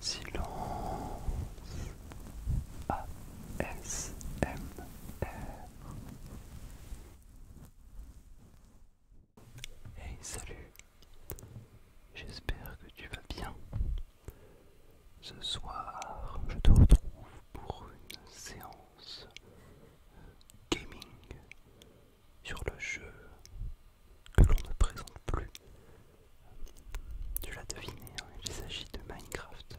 Silence ASMR. Hey, salut! J'espère que tu vas bien. Ce soir, je te retrouve pour une séance gaming sur le jeu que l'on ne présente plus. Tu l'as deviné, hein, il s'agit de Minecraft.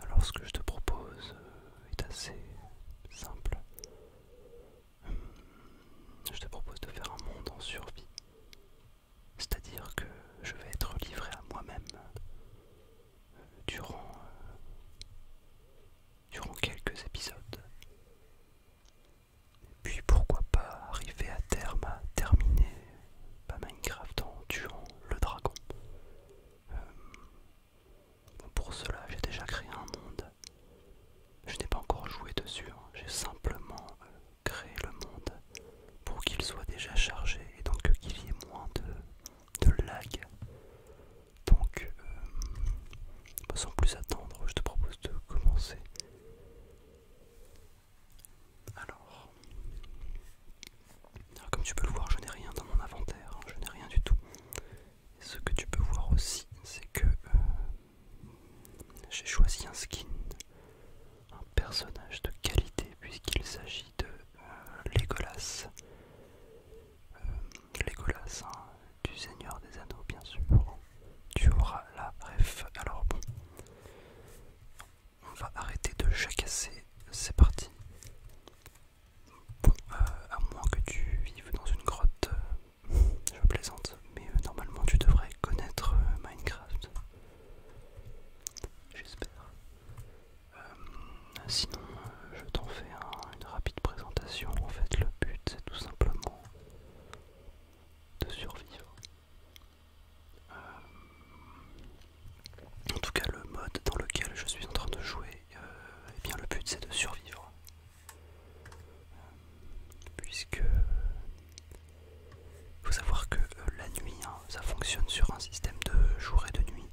Alors ce que je te propose euh, est assez simple. Hum, je te propose de faire un monde en survie. C'est-à-dire que je vais être livré à moi-même euh, durant, euh, durant quelques épisodes. Puis pourquoi pas arriver à terme à terminer bah, Minecraft en tuant le dragon. Euh, pour cela, j'ai déjà créé un monde. Je n'ai pas encore joué dessus, hein. j'ai simplement euh, créé le monde pour qu'il soit déjà chargé et donc qu'il y ait moins de, de lag donc euh, sans plus attendre je te propose de commencer alors, comme tu peux le voir je n'ai rien dans mon inventaire hein. je n'ai rien du tout ce que tu peux voir aussi c'est que euh, j'ai choisi un skin un personnage de qualité puisqu'il s'agit de euh, Legolas hein du Seigneur des Anneaux, bien sûr. Tu auras la ref. Alors bon, on va arrêter de chacasser, C'est parti. Bon, euh, à moins que tu vives dans une grotte, euh, je plaisante, mais euh, normalement tu devrais connaître Minecraft. J'espère. sinon, je t'en fais une rapide présentation. En fait, le but, c'est tout simplement de survivre. Euh, en tout cas, le mode dans lequel je suis en train de jouer, euh, eh le but, c'est de survivre. Euh, puisque il faut savoir que la nuit, hein, ça fonctionne sur un système de jour et de nuit.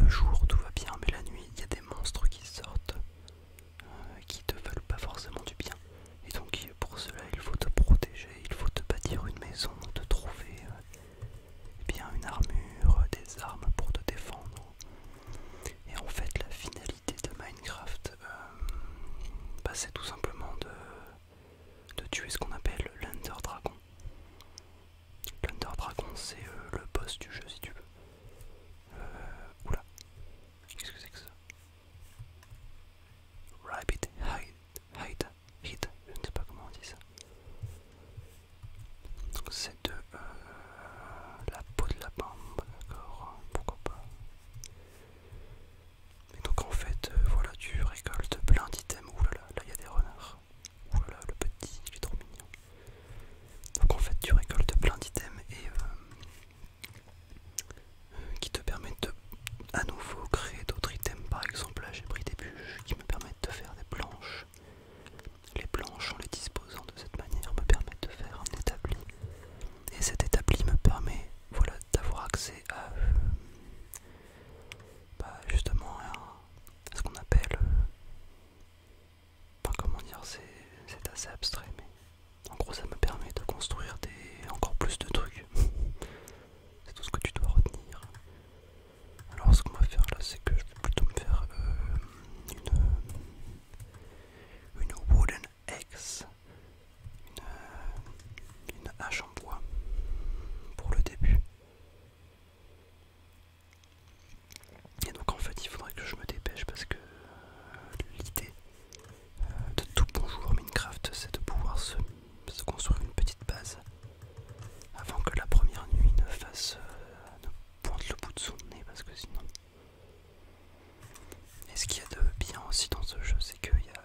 Le jour, tout va bien, mais la nuit, il y a des monstres qui sortent qui te veulent pas forcément du bien. Et donc pour cela il faut te protéger, il faut te bâtir une maison, te trouver euh, eh bien une armure, des armes pour te défendre. Et en fait la finalité de Minecraft, euh, bah, c'est tout simplement de, de tuer ce qu'on appelle l'Under Dragon. l'ender Dragon c'est euh, le boss du jeu si tu veux. Euh, oula, qu'est-ce que c'est que ça Rabbit hide, hide, hide, je ne sais pas comment on dit ça. C'est de euh, la peau de lapin, d'accord, pourquoi pas. donc en fait, euh, voilà, tu récoltes plein d'items. Oulala, là là, il y a des renards. Oulala, le petit, il est trop mignon. Donc en fait tu récoltes plein d'items et euh, euh, qui te permettent de à nouveau créer d'autres items. Par exemple là j'ai pris des bûches qui me permettent de faire des planches. Les planches en les disposant de cette manière me permettent de faire un établi. Et cet établi me permet voilà, d'avoir accès à euh, bah, justement ce qu'on appelle pas comment dire, c'est assez abstrait, mais en gros, ça me permet de construire des encore plus de trucs. c'est tout ce que tu dois retenir. Alors, ce qu'on va faire là, c'est que je vais plutôt me faire euh, une, une wooden axe, une, euh, une hache en bois pour le début. Et donc en fait il faudrait que je me dépêche parce que euh, l'idée euh, de tout bonjour Minecraft c'est de pouvoir se, construire une petite base avant que la première nuit ne fasse euh, pointe le bout de son nez parce que sinon et ce qu'il y a de bien aussi dans ce jeu c'est qu'il y a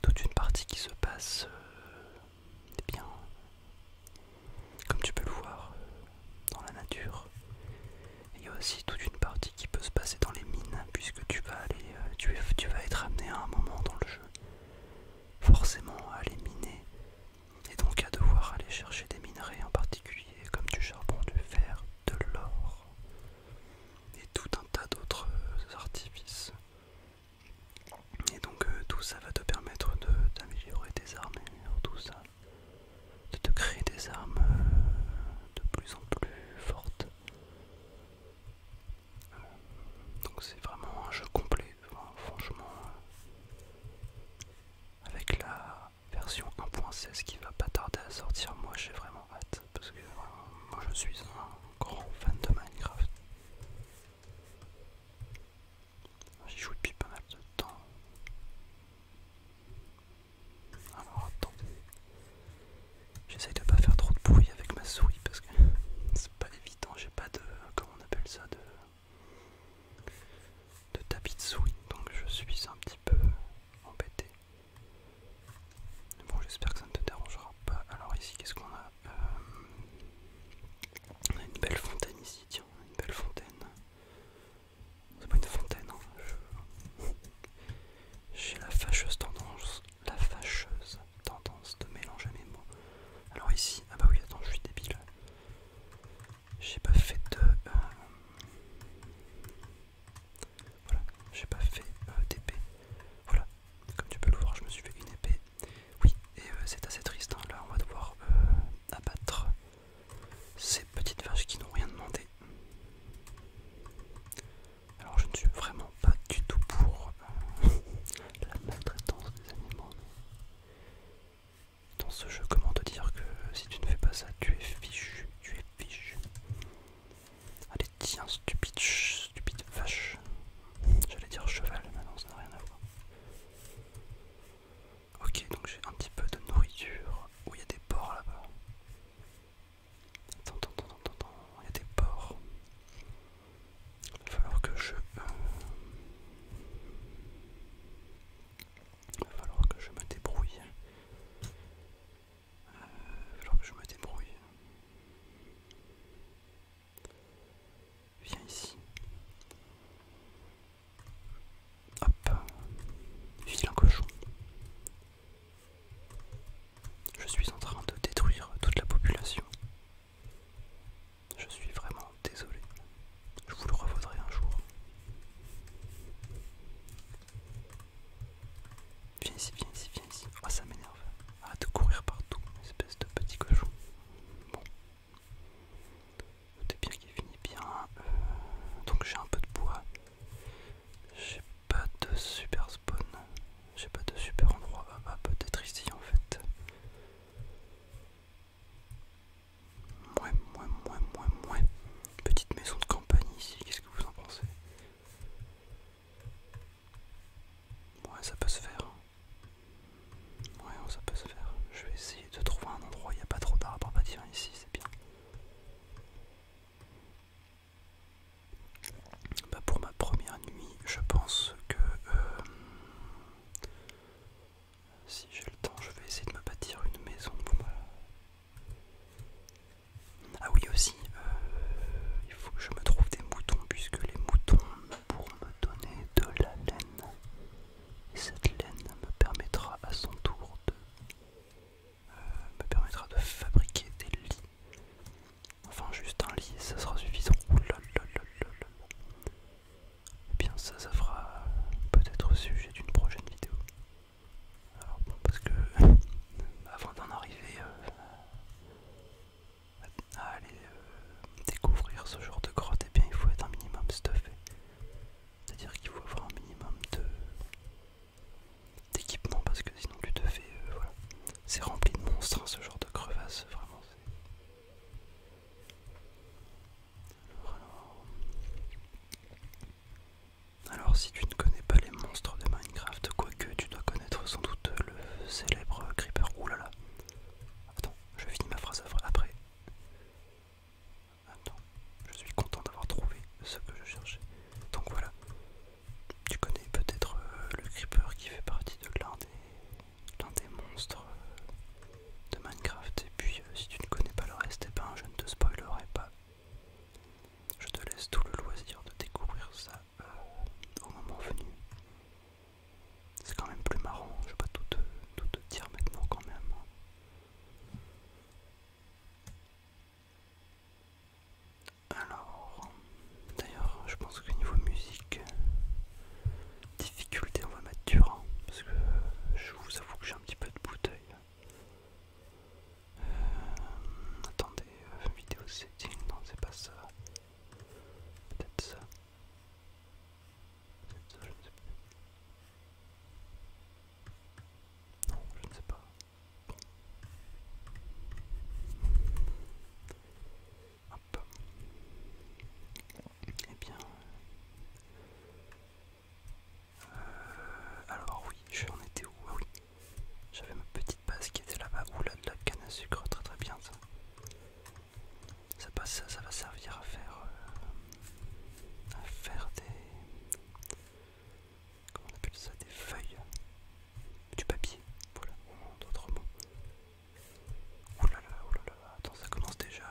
toute une partie qui se passe bien comme tu peux le voir euh, dans la nature. Il y a aussi toute une partie qui peut se passer dans les mines, puisque tu vas, aller, euh, tu, vas être amené à un moment dans le jeu, forcément à les miner, et donc à devoir aller chercher des minerais en particulier, comme du charbon, du fer, de l'or, et tout un tas d'autres euh, artifices. Et donc tout ça va te permettre d'améliorer tes armures, tout ça de te créer des armes euh, de plus en plus fortes. Donc c'est vraiment un jeu complet, franchement, euh, avec la version 1.16 qui va pas tarder à sortir, moi j'ai vraiment hâte, parce que euh, moi je suis un grand fan de Minecraft. J'y joue depuis pas mal de temps. Alors attendez. J'essaye de pas faire trop de bruit avec ma souris parce que c'est pas évident, j'ai pas de. comment on appelle ça de, de tapis de souris, donc je suis un petit peu embêté. Bon j'espère que ça ne te dérangera pas. Alors ici qu'est-ce qu'on a euh, on a une belle fontaine ici, tiens, une belle fontaine. C'est pas une fontaine, hein. J'ai la fâcheuse tendance, la fâcheuse tendance de mélanger mes mots. Alors ici, ah bah oui, attends, je suis débile. J'ai pas fait de... Euh, voilà, j'ai pas fait euh, d'épée. Voilà, comme tu peux le voir, je me suis fait une épée. Oui, et euh, c'est assez triste, hein. là on va devoir abattre ces petites vaches qui n'ont rien demandé. Alors je ne suis vraiment pas du tout pour euh, la maltraitance des animaux. Dans ce jeu, comment te dire que si tu ne fais pas ça, tu es fichu, tu es fichu. Allez tiens, stupide, stupide vache. J'allais dire cheval, mais non, ça n'a rien à voir. Ok, donc j'ai un petit peu de nourriture. Où il y a des porcs là-bas. Attends, attends, attends, attends, il y a des porcs. Il va falloir que je. Euh, il va falloir que je me débrouille. Euh, il va falloir que je me débrouille. Viens ici. Hop, vilain cochon. Je suis en train de détruire toute la population. Je suis vraiment désolé. Je vous le revaudrai un jour. Viens ici, viens ici, viens ici. Oh, ça m'énerve. Arrête de courir partout, espèce de petit cochon. Bon, bien qu'il finit bien. Euh, donc j'ai un peu de bois. J'ai pas de super spawn. J'ai pas de super endroit. Ah, bah peut-être ici en fait. Mouais, mouais, mouais, mouais, mouais. Petite maison de campagne ici, qu'est-ce que vous en pensez Ouais, ça peut se faire. Ouais, oh, ça peut se faire. Je vais essayer de trouver un endroit il n'y a pas trop d'arbres à bâtir ici, c'est bien. Bah, pour ma première nuit, je pense que euh, si j'ai le temps, je vais essayer de me bâtir une maison. Bah. Ah oui aussi, euh, il faut que je me trouve des moutons puisque les moutons pourront me donner de la laine et cette laine me permettra à son tour de euh, me permettra de fabriquer des lits. Enfin juste un lit, ça sera suffisant. Ouh eh bien ça, ça fera peut-être sujet d'une prochaine vidéo. Alors bon, parce que avant d'en arriver euh, à aller euh, découvrir ce genre de grotte, et eh bien il faut être un minimum stuffé. C'est-à-dire qu'il faut avoir un minimum d'équipement parce que sinon tu te fais... Euh, voilà. C'est rempli de monstres hein, ce genre de crevasse, vraiment. Alors, alors... Alors si tu ne connais pas les monstres de Minecraft, quoique tu dois connaître sans doute le célèbre creeper. Ouh là là. Attends, je finis ma phrase après. Attends, je suis content d'avoir trouvé ce que je cherchais. Donc voilà. Tu connais peut-être euh, le creeper qui fait partie de l'un des, monstres euh, de Minecraft. Et puis euh, si tu ne connais pas le reste, eh ben, je ne te spoilerai pas. Je te laisse tout le loisir de découvrir ça au moment venu. C'est quand même plus marrant, je vais pas tout te, dire maintenant quand même. Alors, d'ailleurs, je pense que niveau musique, difficulté, on va mettre dur, hein, parce que je vous avoue que j'ai un petit peu de bouteille. Euh, attendez, euh, vidéo setting, non, c'est pas ça. Peut-être ça. Ça, je ne sais plus. Non, je ne sais pas. Hop. Et eh bien. Euh, alors oui, j'en étais où ah oui. J'avais ma petite base qui était là-bas. Oula, de la canne à sucre, très très bien ça ça, va servir à faire, euh, à faire des... ça Des feuilles. Du papier. Voilà, d'autres mots. Oh là là, attends, ça commence déjà...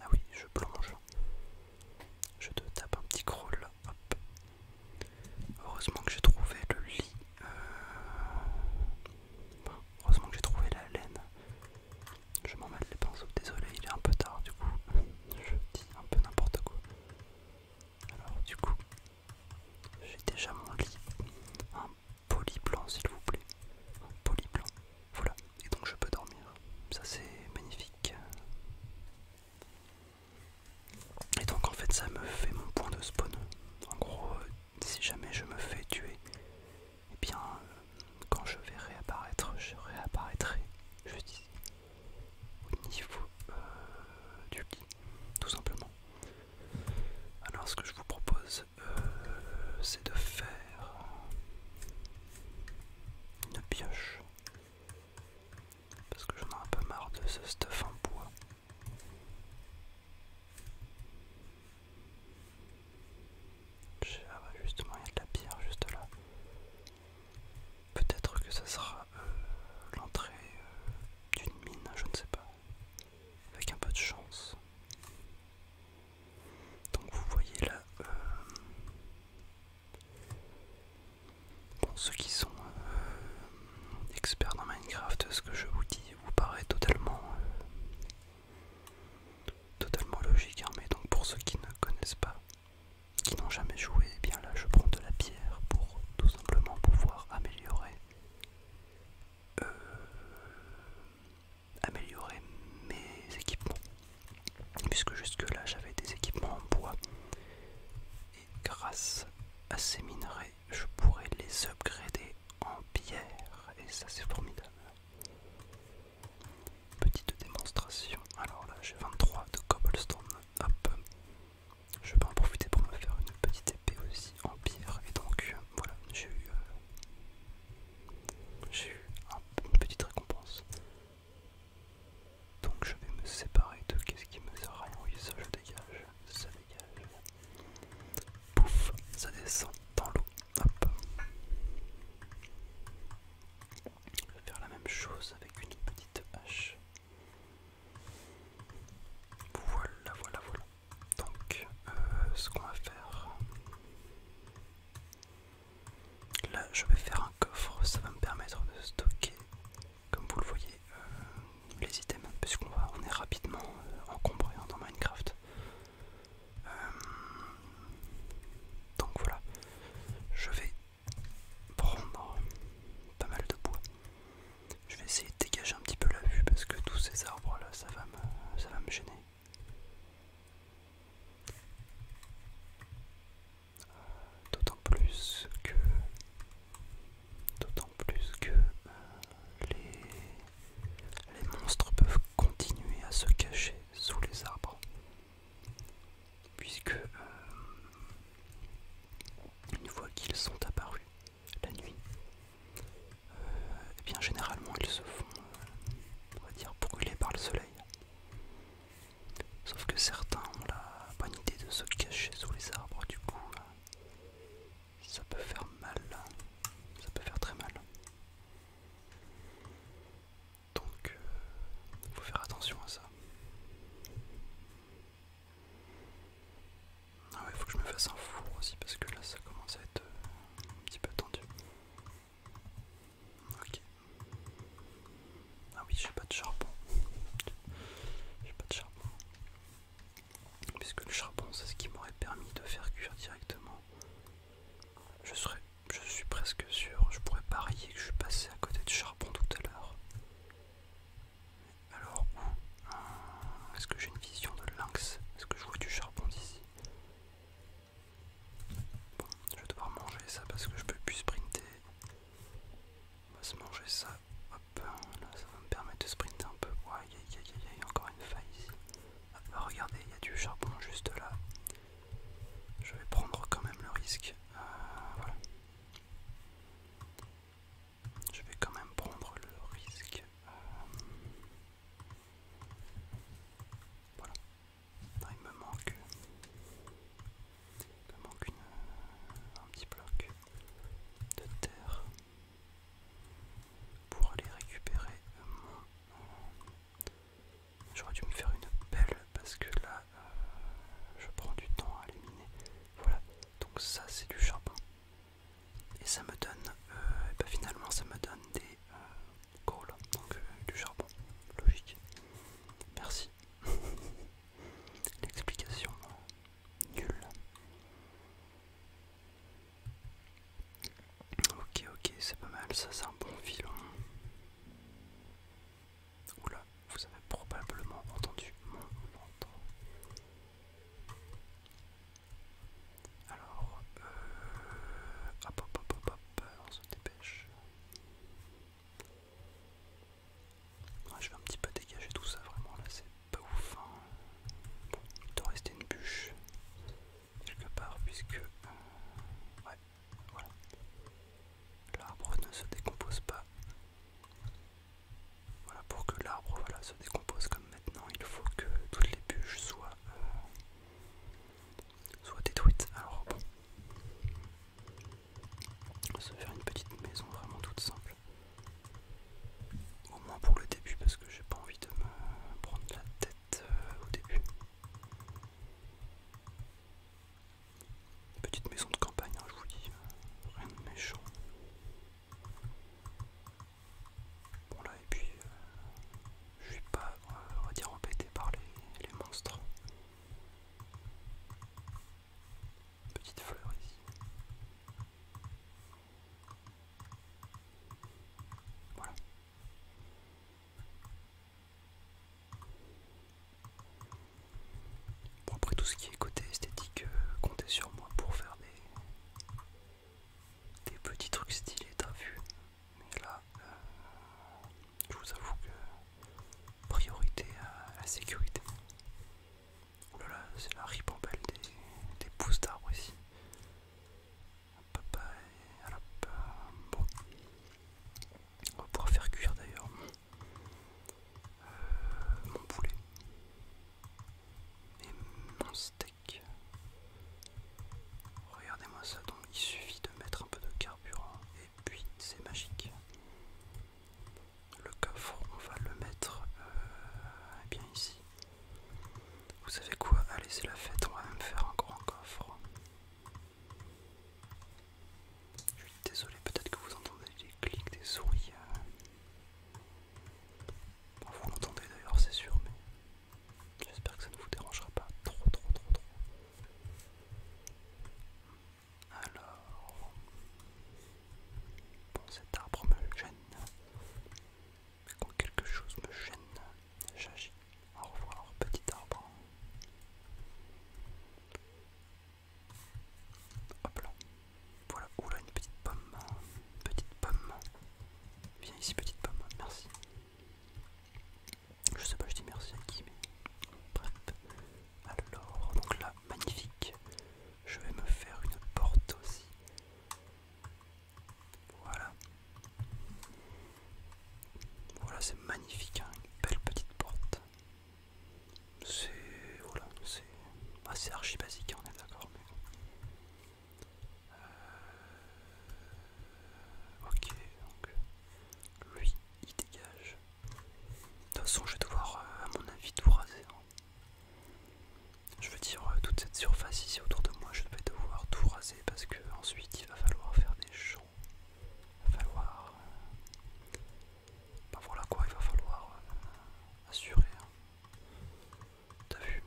Ah oui, je plonge. Je te tape un petit crawl là, hop. Heureusement que j'ai trouvé le lit. Euh, Heureusement que j'ai trouvé la laine. Je m'en mêle les pinceaux, désolé, il est un peu tard du coup. Je dis un peu n'importe quoi. Alors du coup, j'ai déjà mon lit. Un polyplan s'il vous plaît. Un polyplan. Voilà. Et donc je peux dormir. Ça c'est magnifique. Et donc en fait ça me fait mon point de spawn. En gros, si jamais je me fais tuer, et eh bien, euh, quand je vais réapparaître, je réapparaîtrai dis, au niveau euh, du lit, tout simplement. Alors, ce que je vous propose, euh, c'est de faire une pioche parce que j'en ai un peu marre de ce stuff en bois ah bah justement, il y a de la pierre juste là. Peut-être que ça sera euh, l'entrée euh, d'une mine, je ne sais pas. Avec un peu de chance. Donc vous voyez là... pour euh, ceux qui sont experts dans Minecraft, ce que je vous dis vous paraît totalement Totalement logique, armée hein, mais donc pour ceux qui ne connaissent pas, qui n'ont jamais joué, et eh bien là je prends de la pierre pour tout simplement pouvoir améliorer, euh, améliorer mes équipements. Puisque jusque là j'avais des équipements en bois et grâce à ces minerais je pourrais les upgrader en pierre et ça c'est formidable. Petite démonstration, alors là j'ai 23 de cobblestone, hop, je peux en profiter pour me faire une petite épée aussi en pierre et donc euh, voilà, j'ai eu, euh, j'ai eu une petite récompense. Donc je vais me séparer de qu'est-ce qui me sert à rien, oui ça je dégage, ça dégage, Pouf, ça descend dans l'eau. Hop. Je vais faire la même chose avec une petite hache. Voilà, voilà, voilà. Donc, euh, ce qu'on va faire... Là, je vais faire un coffre, ça va me permettre de stocker, comme vous le voyez, euh, les items, puisqu'on on est rapidement euh, encombré hein, dans Minecraft. Euh, donc voilà, je vais prendre pas mal de bois. Je vais essayer de dégager un petit peu la vue parce que tous ces arbres là, ça va me, ça va me gêner. D'autant plus que, d'autant plus que euh, les les monstres peuvent continuer à se cacher sous les arbres. Puisque, euh, une fois qu'ils sont apparus la nuit, euh, eh bien généralement ils se font, euh, va dire, par le soleil. Sauf que certains ont la bonne idée de se cacher sous les arbres, du coup, ça peut faire mal. Ça peut faire très mal. Donc, il euh, faut faire attention à ça. Ah ouais, faut que je me fasse un four aussi parce que là ça commence à être euh, un petit peu tendu. Ok. Ah oui, j'ai pas de charbon. J'ai pas de charbon puisque le charbon c'est ce qui m'aurait permis de faire cuire directement. Je, je suis presque sûr, je pourrais parier que je suis passé à côté de charbon tout à l'heure. Alors où euh, Est-ce que j'ai une vision de lynx Est-ce que je vois du charbon d'ici Bon, je vais devoir manger ça parce que je peux plus sprinter. On va se manger ça. Hop, là ça va me permettre de sprinter un peu. Ouais, y y a encore une faille ici. Ah, regardez, il y a du charbon juste là. Je vais prendre quand même le risque. Euh, voilà. Je vais quand même prendre le risque. Euh, voilà. il me manque. me manque un petit bloc de terre pour aller récupérer mon... J'aurais dû me faire une pelle parce que là, euh, je prends du temps à éliminer. Voilà, donc ça c'est du charbon. Et ça me donne, euh, ben finalement ça me donne des euh, donc euh, du charbon, logique. Merci. L'explication nulle. Ok, ok, c'est pas mal, ça c'est un bon filon. Oula, vous avez probablement entendu mon ventre. Alors, euh, hop, hop, hop, hop, on se dépêche. je vais un petit peu dégager tout ça, vraiment, là c'est pas ouf. il hein. doit rester une bûche quelque part puisque L'arbre ne se décompose pas. Voilà pour que l'arbre se décompose comme maintenant, il faut que toutes les bûches soient euh, soient détruites. Alors bon, on va se faire une petite maison vraiment toute simple. Au moins pour le début, parce que j'ai pas envie de me prendre la tête euh, au début. Petite maison de campagne, hein, je vous dis, euh, rien de méchant. Bon là, et puis euh, je vais pas, on va dire, embêté par les, les monstres. Petite fleur ici. Bon, après tout ce qui est côté esthétique, euh, comptez sur moi pour faire des, petits trucs stylés, à vue Mais là, euh, je vous avoue que priorité à la sécurité c'est la ribambelle des, pousses d'arbres ici. bon. On va pouvoir faire cuire d'ailleurs euh, mon poulet et mon steak. Regardez-moi ça, donc il suffit de mettre un peu de carburant et puis c'est magique. Le coffre, on va le mettre euh, bien ici. Vous savez quoi Allez, c'est la fête, on va même faire un grand coffre. Je suis désolé, peut-être que vous entendez les clics des souris. Euh. vous l'entendez d'ailleurs, c'est sûr, mais j'espère que ça ne vous dérangera pas trop, trop, trop, trop. Alors, bon, cet arbre me gêne. Quand quelque chose me gêne, j'agis. Au revoir, petit arbre. Hop là. Voilà. Oula, une petite pomme. Petite pomme. Viens ici, petite pomme. Merci. Je sais pas, je dis merci à qui, mais. Bref. Alors, donc là, magnifique. Je vais me faire une porte aussi. Voilà. Voilà, c'est magnifique, hein. une belle petite porte. C'est voilà, c'est assez archi basique, hein, on est d'accord. Euh, ok, donc lui, il dégage. De toute façon, je vais devoir, euh, à mon avis, tout raser. Hein. Je veux dire, euh, toute cette surface ici autour de moi, je vais devoir tout raser parce qu'ensuite, il va falloir faire des champs. Il va falloir. Euh, ben voilà quoi, il va falloir euh, assurer. Hein. T'as vu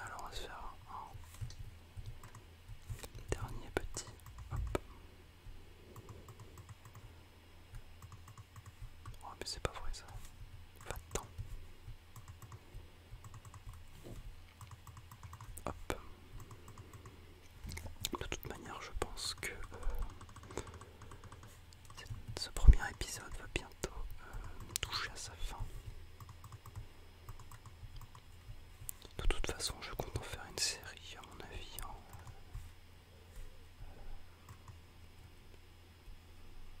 Alors on va se faire un dernier petit. Hop. Oh mais c'est pas vrai ça. Va-t'en. De toute manière, je pense que euh, ce premier épisode va bientôt euh, toucher à sa fin. De toute façon, je compte en faire une série, à mon avis, euh,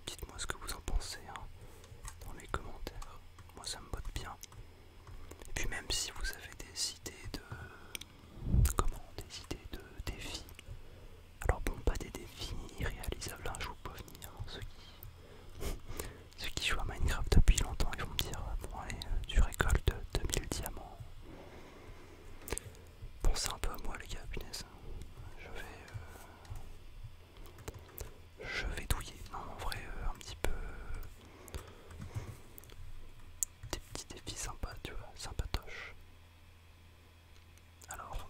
Dites-moi ce que vous en pensez hein, dans les commentaires. Moi ça me botte bien. Et puis même si vous avez des idées de... Comment Des idées de défis. Alors bon, pas des défis irréalisables, un hein, vous jour pas venir. Hein, ceux, qui... ceux qui jouent à Minecraft depuis longtemps, ils vont me dire, bon allez, euh, tu récoltes 2000 diamants. Pensez un peu à moi les gars, punaise. Je vais... Euh, je vais douiller. Non, en vrai, euh, un petit peu... Euh, des petits défis sympas, tu vois, sympatoches. Alors,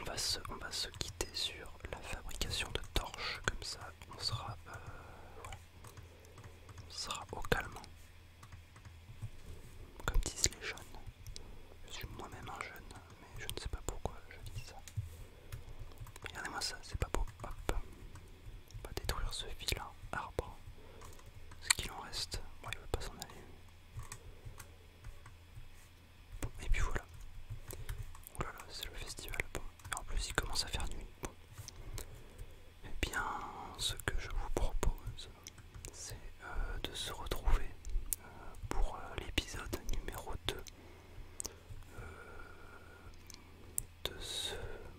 on va, se, on va se quitter sur la fabrication de torches, comme ça on sera, on sera au calme. Comme disent les jeunes, je suis moi-même un jeune, mais je ne sais pas pourquoi je dis ça. Regardez-moi ça, c'est pas beau. Hop, on va détruire ce vilain arbre. Ce qu'il en reste, moi il veut pas s'en aller. et puis voilà. c'est le festival. Bon, en plus, il commence à faire nuit. Et eh bien, ce que je vous propose, c'est euh, de se retrouver euh, pour euh, l'épisode numéro 2 de ce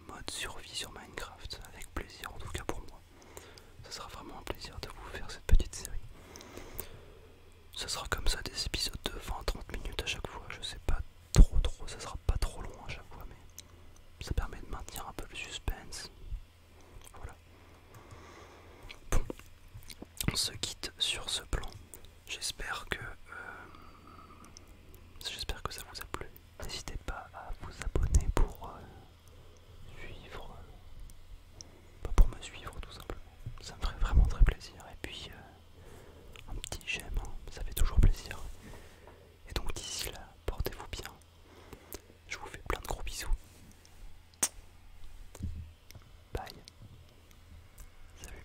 mode survie sur Minecraft, avec plaisir en tout cas pour moi. Ce sera vraiment un plaisir de vous faire cette petite série. Ce sera comme ça des épisodes de 20-30 minutes à chaque fois, je sais pas trop trop, ça sera pas trop long à chaque fois, mais ça permet de maintenir un peu le suspense, voilà. Bon, on se quitte sur ce plan. J'espère que, euh, j'espère que ça vous a plu. N'hésitez pas à vous abonner pour euh, suivre, euh, pour me suivre tout simplement. Ça me ferait vraiment très plaisir. Et puis un petit j'aime, hein. ça fait toujours plaisir. Et donc d'ici là, portez-vous bien. Je vous fais plein de gros bisous. Bye. Salut.